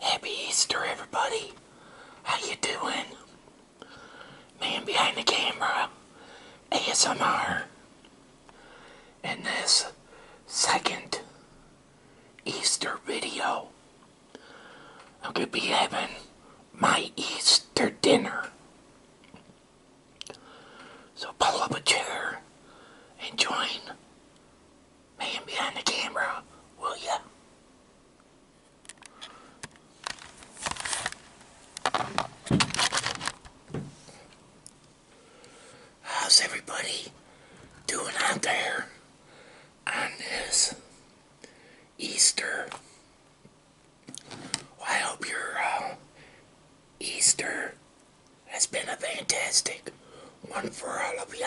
Happy Easter, everybody. How you doing? Man behind the camera, ASMR. In this second Easter video, I'm going to be having my Easter dinner. So pull up a chair and join man behind the camera, will ya? How's everybody doing out there on this Easter? I hope your uh, Easter it's been a fantastic one for all of you.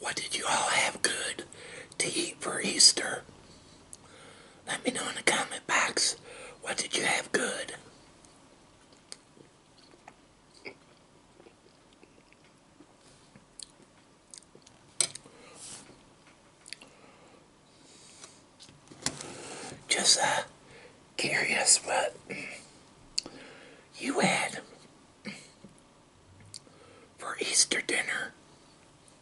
What did you all have good to eat for Easter? Let me know in the comment box. What did you have good? Just curious what you had for Easter dinner.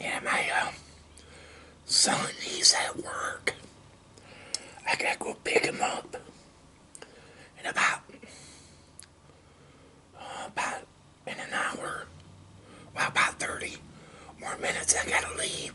Yeah, my uh, son, he's at work. I gotta go pick him up in about, uh, about in an hour. Well, about 30 more minutes. I gotta leave.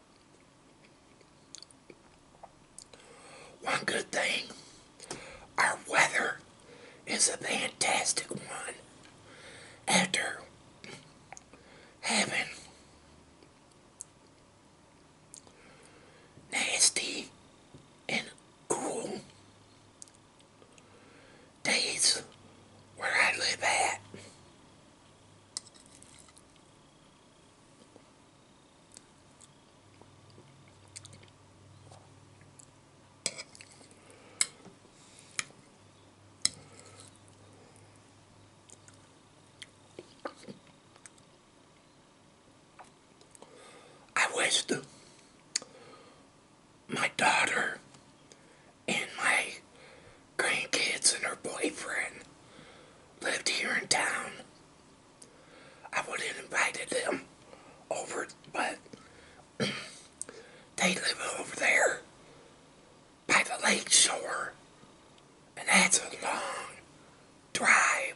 One good thing, our weather is a fantastic one after having nasty and cool days where I live at. I wish my daughter and my grandkids and her boyfriend lived here in town, I would have invited them over, but they live over there by the lake shore, and that's a long drive.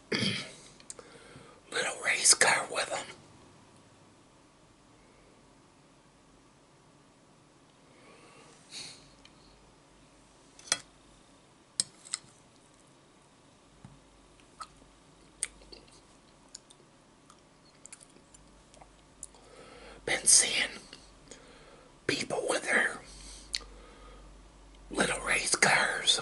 little race car with him. Been seeing people with their little race cars.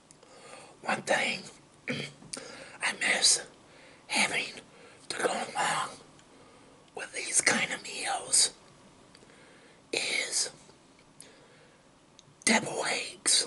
One thing I miss having to go along with these kind of meals is devil eggs.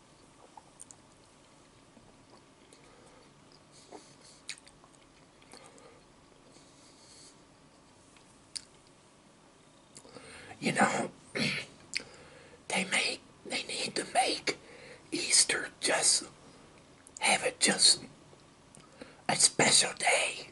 You know, they make they need to make Easter just have it just a special day.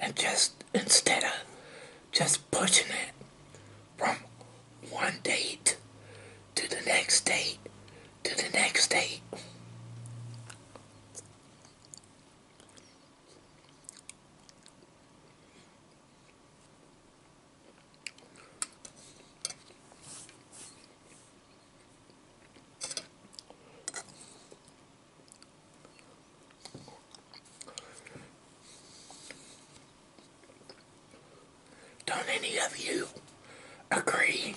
and just instead of just pushing it from one date to the next date to the next date. Don't any of you agree?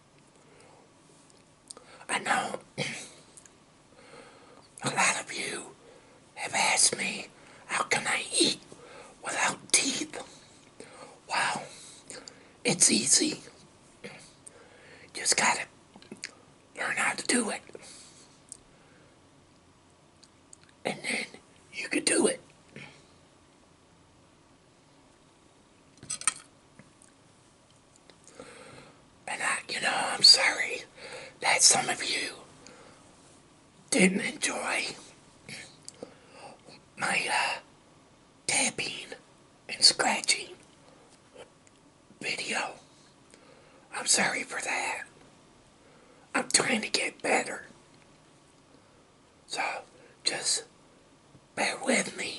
I know a lot of you have asked me, how can I eat without teeth? Wow, it's easy. Just gotta learn how to do it. And then you could do it. And I, you know, I'm sorry that some of you didn't enjoy my uh, tapping and scratching video. I'm sorry for that. I'm trying to get better. So, just Bear with me.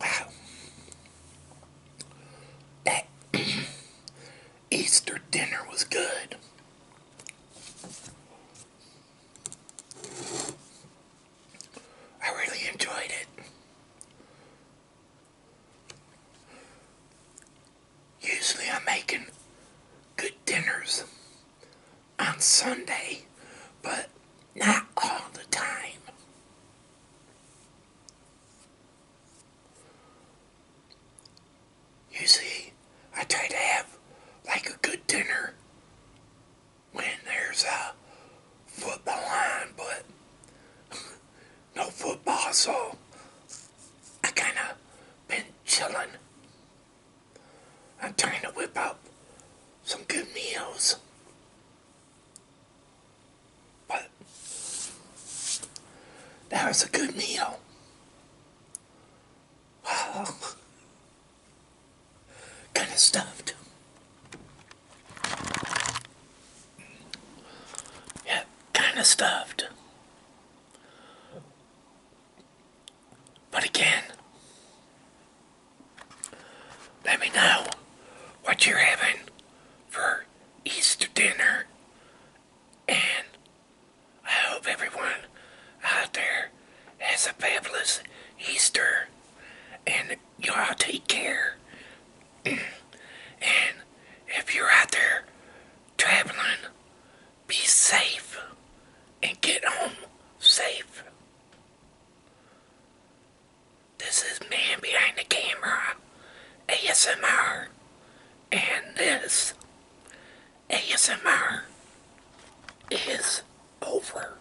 Wow. That Easter dinner was good. I really enjoyed it. Usually I'm making good dinners on Sunday, but not all the time. You see, I try to have like a good dinner when there's a football on, but no football, so I kind of been chilling. I'm trying to whip up some good meals. But that was a good meal. kind of stuffed. Yeah, kind of stuffed. But again, let me know what you're having for Easter dinner. And I hope everyone out there has a fabulous Easter. And y'all take care and if you're out there traveling, be safe and get home safe. This is Man Behind the Camera ASMR and this ASMR is over.